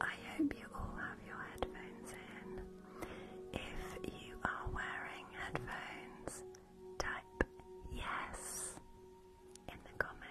I hope you all have your headphones in. If you are wearing headphones, type yes in the comments.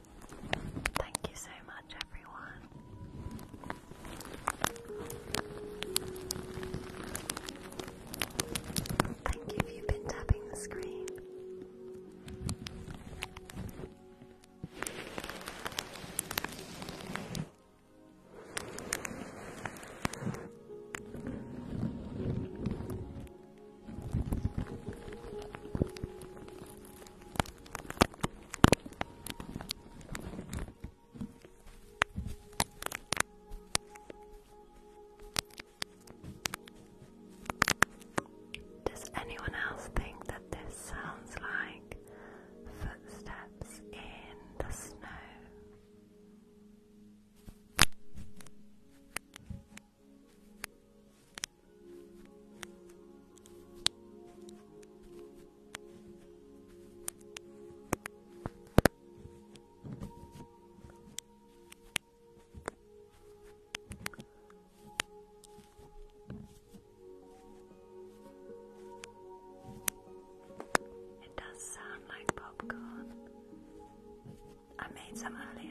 Thank you so much, everyone. Thank you if you've been tapping the screen. Does anyone else think that this sounds like footsteps in the snow? It does sound like popcorn. I made some earlier.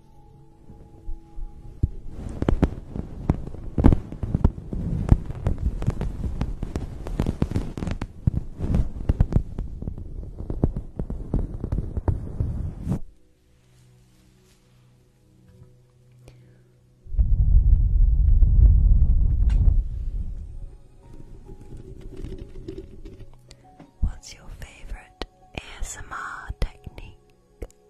What's your favorite ASMR technique?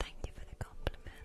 Thank you for the compliments.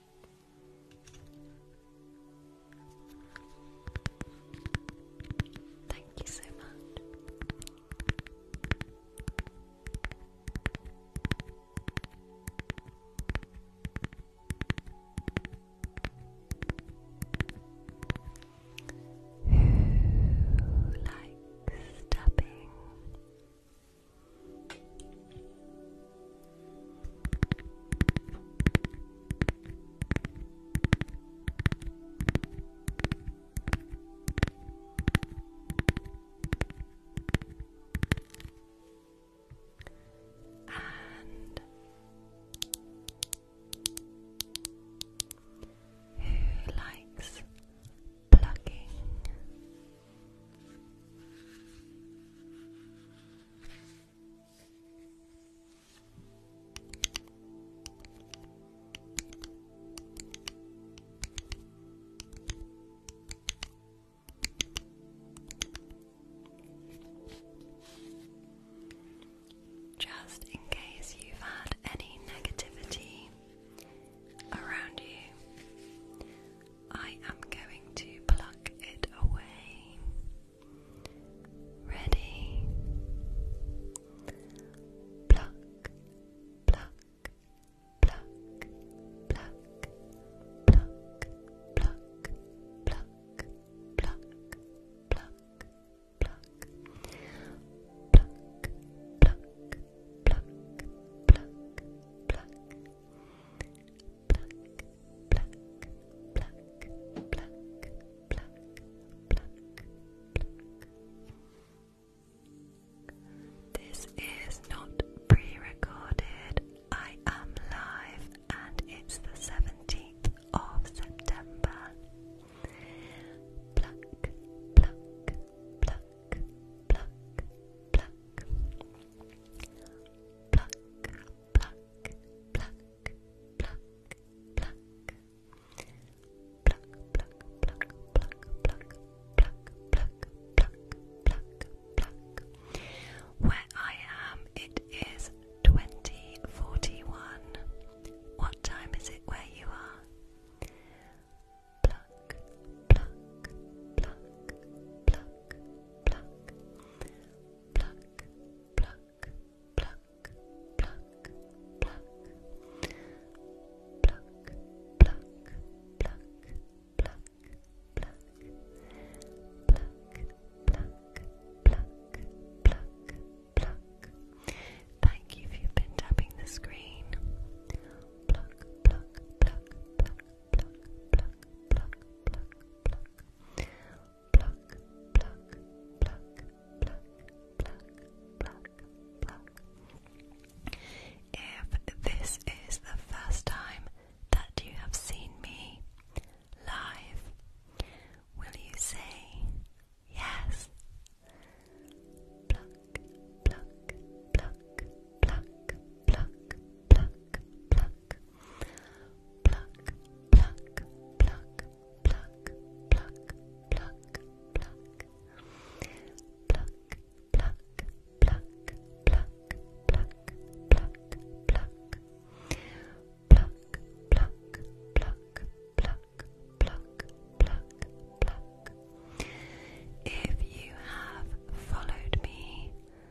Thank you so much. Who likes tapping? And who likes plugging just in case you've had any negativity around you, I am going to pluck it away. Ready? Pluck, pluck, pluck, pluck, pluck, pluck, pluck, pluck, pluck, pluck, pluck, pluck, pluck, pluck, pluck. Pluck, this is not pre-recorded. I am live and it's the 17th of September pluck, pluck, pluck, pluck, pluck. Pluck, pluck, pluck, pluck, pluck, pluck, pluck, pluck, pluck, pluck. Where I am, it is twenty forty-one. What time is it where you are? Thank you for you been tapping the screen. If this is the first time that you have seen me live, will you say yes? pluck, pluck, pluck, pluck, pluck, pluck, pluck, pluck, pluck, pluck, pluck, pluck, pluck, pluck, pluck, pluck, pluck, pluck. Pluck, pluck, pluck, pluck, pluck, pluck, pluck. If you have followed me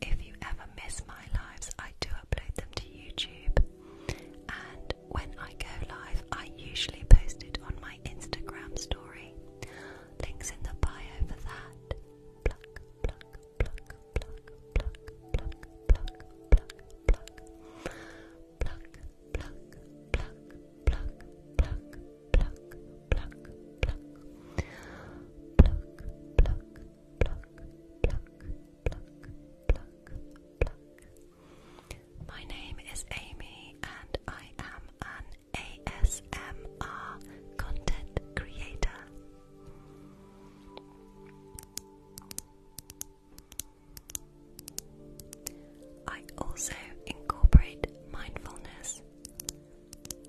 if you ever miss my lives, I do upload them to YouTube. And when I go live, I usually post it on my Instagram story. Links in the bio for that pluck, pluck, pluck, pluck, pluck, pluck, pluck, pluck, pluck, pluck, pluck, pluck, pluck. My name is Amy, and I am an ASMR content creator. I also incorporate mindfulness,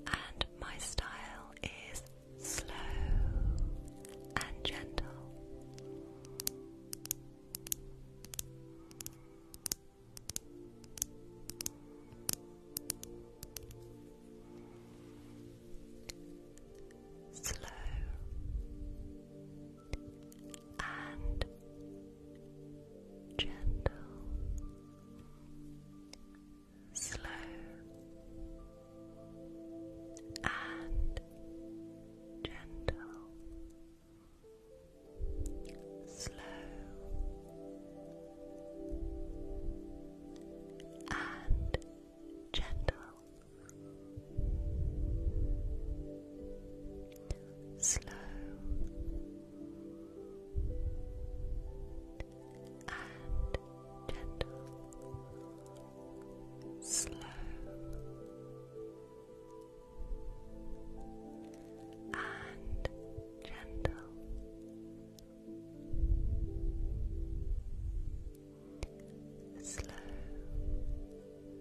and my style is slow and gentle. Slow and gentle, slow and gentle, slow and gentle slow and gentle, slow and gentle. Slow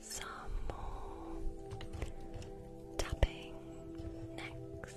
Some more tapping next.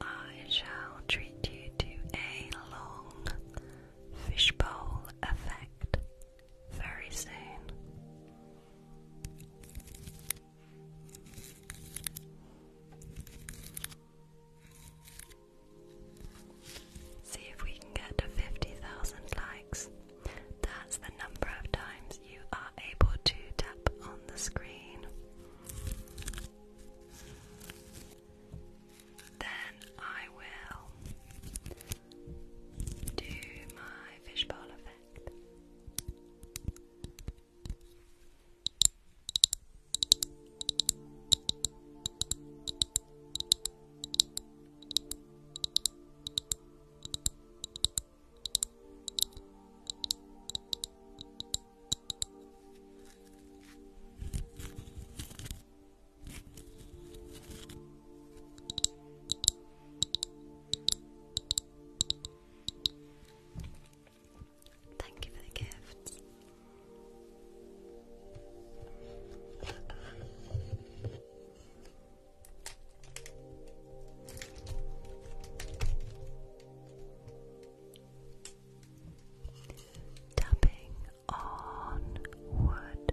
I shall treat you to a long fishbowl effect very soon. See if we can get to 50,000 likes. That's the number of times you are able to tap on the screen. Then I will do my fishbowl effect. Thank you for the gift. Tapping on wood.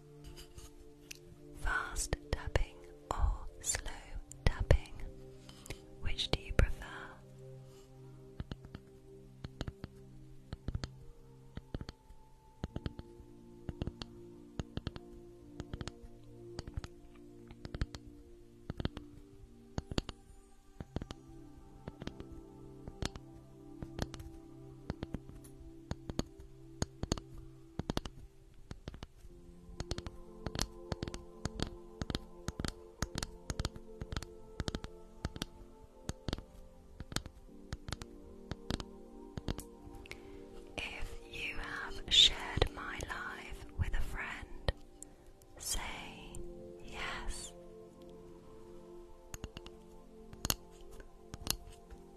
Fast tapping or slow tapping? Which do you prefer? If you have shared my life with a friend, say yes.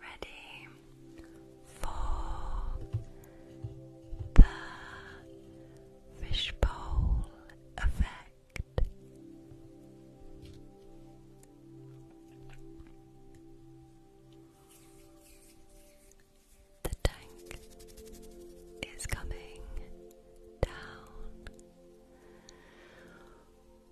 ready for the fishbowl effect. The tank is coming down.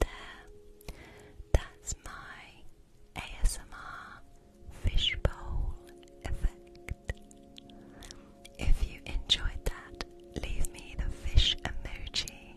There, that's my ASMR fishbowl effect. If you enjoyed that, leave me the fish emoji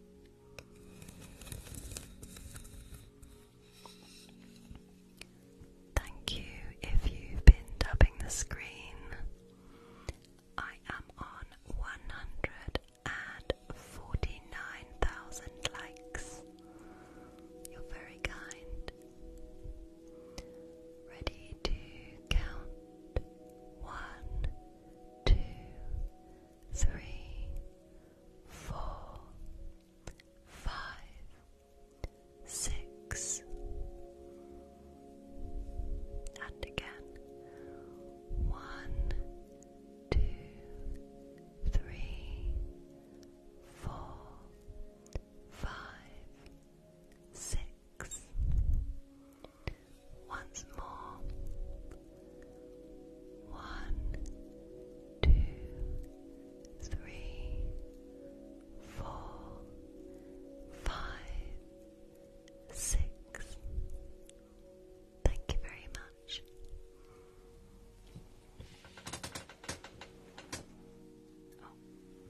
Thank you if you've been tapping the screen. I am on 149,000 likes. You're very kind. Ready to count one, two, three, four, five, six, and again one, two, three, four, five, six. Once more. One, two, three, four, five, six. Thank you very much. Oh,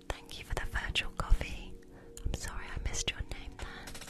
thank you for the virtual coffee. I'm sorry I missed your name there.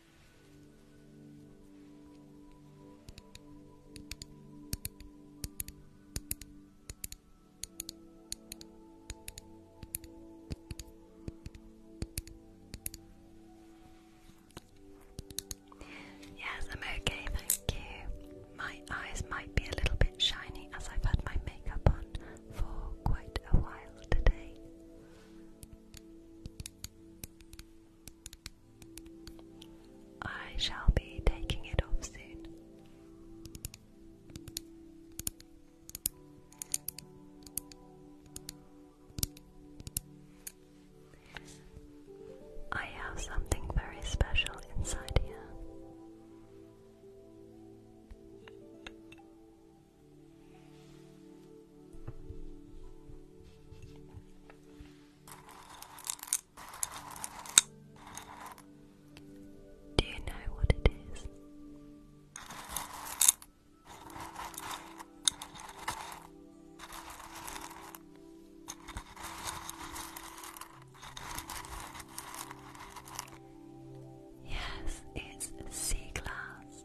Yes, I'm okay, thank you. My eyes might be a little bit shiny as I've had my makeup on for quite a while today. I shall be taking it off soon. I have something very special inside here. Do you know what it is? Yes, it's sea glass.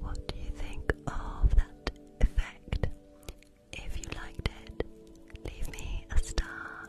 What do you think of that effect? If you liked it, leave me a star.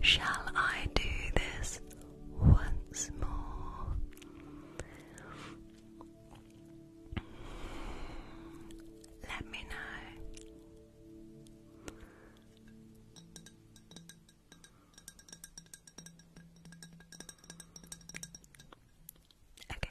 Shall I do this once more? Let me know. Okay.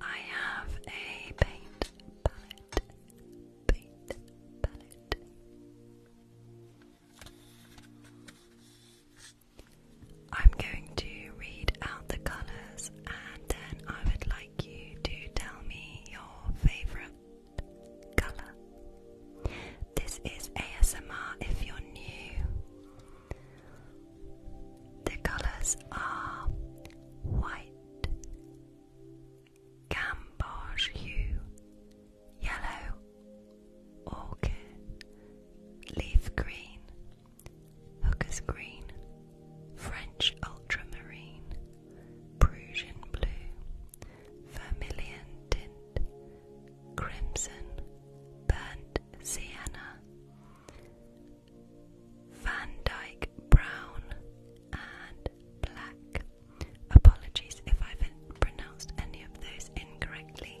I have a paint palette, paint palette. I'm going to read out the colours and then I would like you to tell me your favourite colour. This is ASMR if you're new. The colours are white, gamboge hue, yellow, orchid, leaf green, Hooker's green, French ultramarine, Prussian blue, vermilion tint, crimson, burnt sienna, Van Dyke brown, and black. Apologies if I've pronounced any of those incorrectly.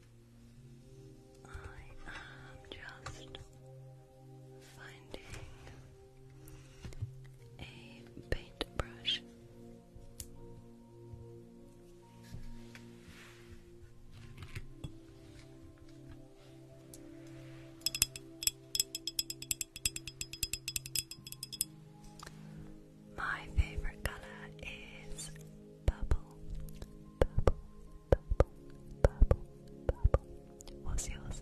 I am just finding a paintbrush. My favorite color is purple. Purple, purple, purple, purple. What's yours?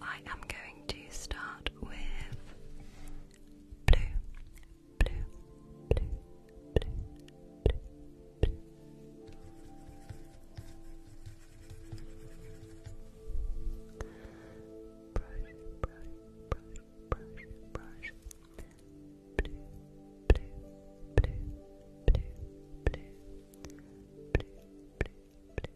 I am going to start with blue, blue, blue, blue, blue, blue. Brush, brush, brush, brush, brush. Blue, blue, blue, blue, blue, blue, blue, blue,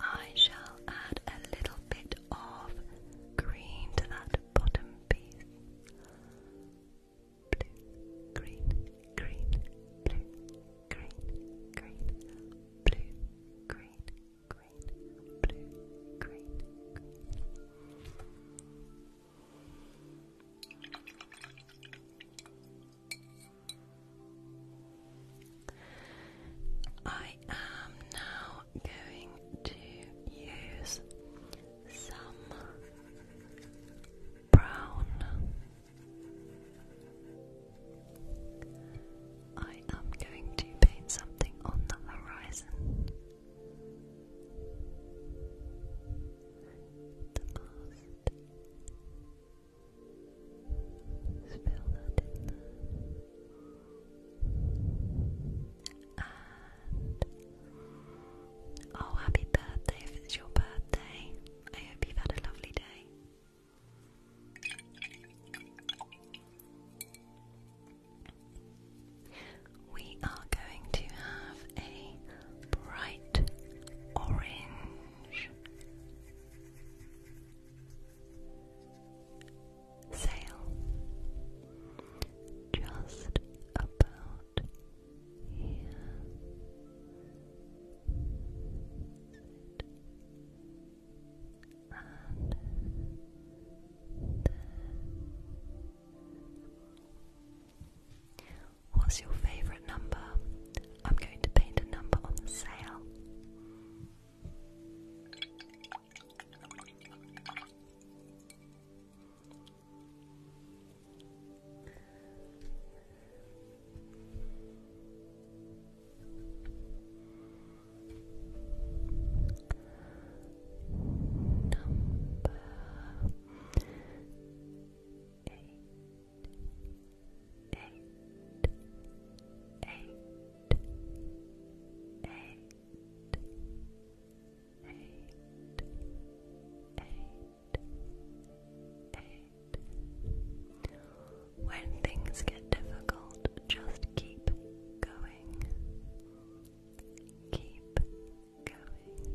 I shall add a little bit of green to that bottom piece. Blue, green, green, blue, green, green, blue, green, green, blue, green, I am now going to use some brown. I am going to paint something on the horizon. The oh, happy birthday if it's your birthday. I hope you've had a lovely day. We are going to have a bright orange change. Sail just about here. And What's your favourite number? I'm going to paint a number on the sale. Number eight, eight, eight. Eight, eight, eight. When things get difficult, just keep going. Keep going.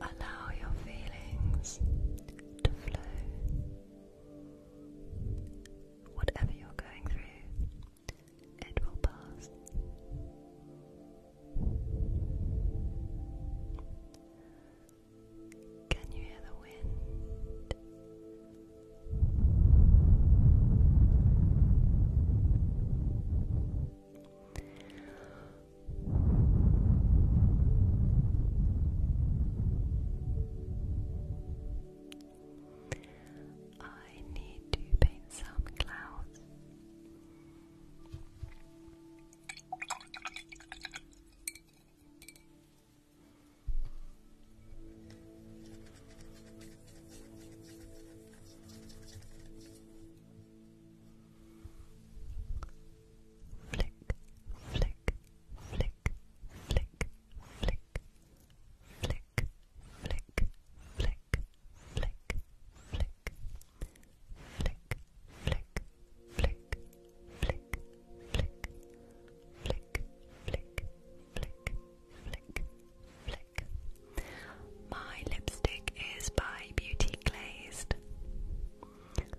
Allow your feelings to flow. Whatever you're going through, it will pass. Can you hear the wind? I need to paint some clouds flick, flick, flick, flick, flick, flick, flick, flick, flick, flick, flick, flick, flick, flick, flick, flick, flick, flick, flick, flick. My lipstick is by Beauty Glazed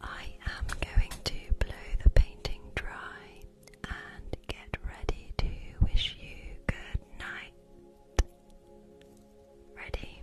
I am going to blow the painting dry and get ready to wish you good night. Ready?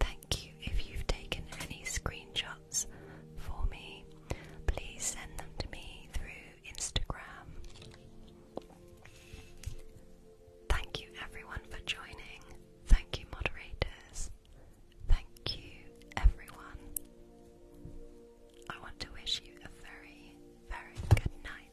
Thank you if you've taken any screenshots for me. Please send them to me through Instagram. Thank you everyone for joining. Thank you, moderators. Thank you, everyone. I want to wish you a very, very good night.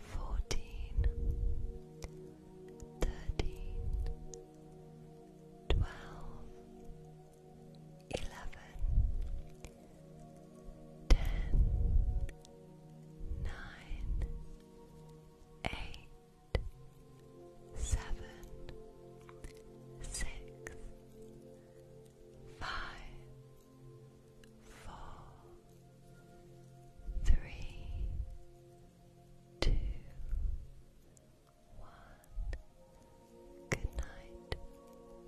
fourteen, thirteen, twelve, eleven, ten, nine, eight, seven, six, five, four three, two, one. Good night.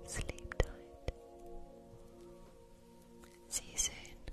Sleep tight. See you soon.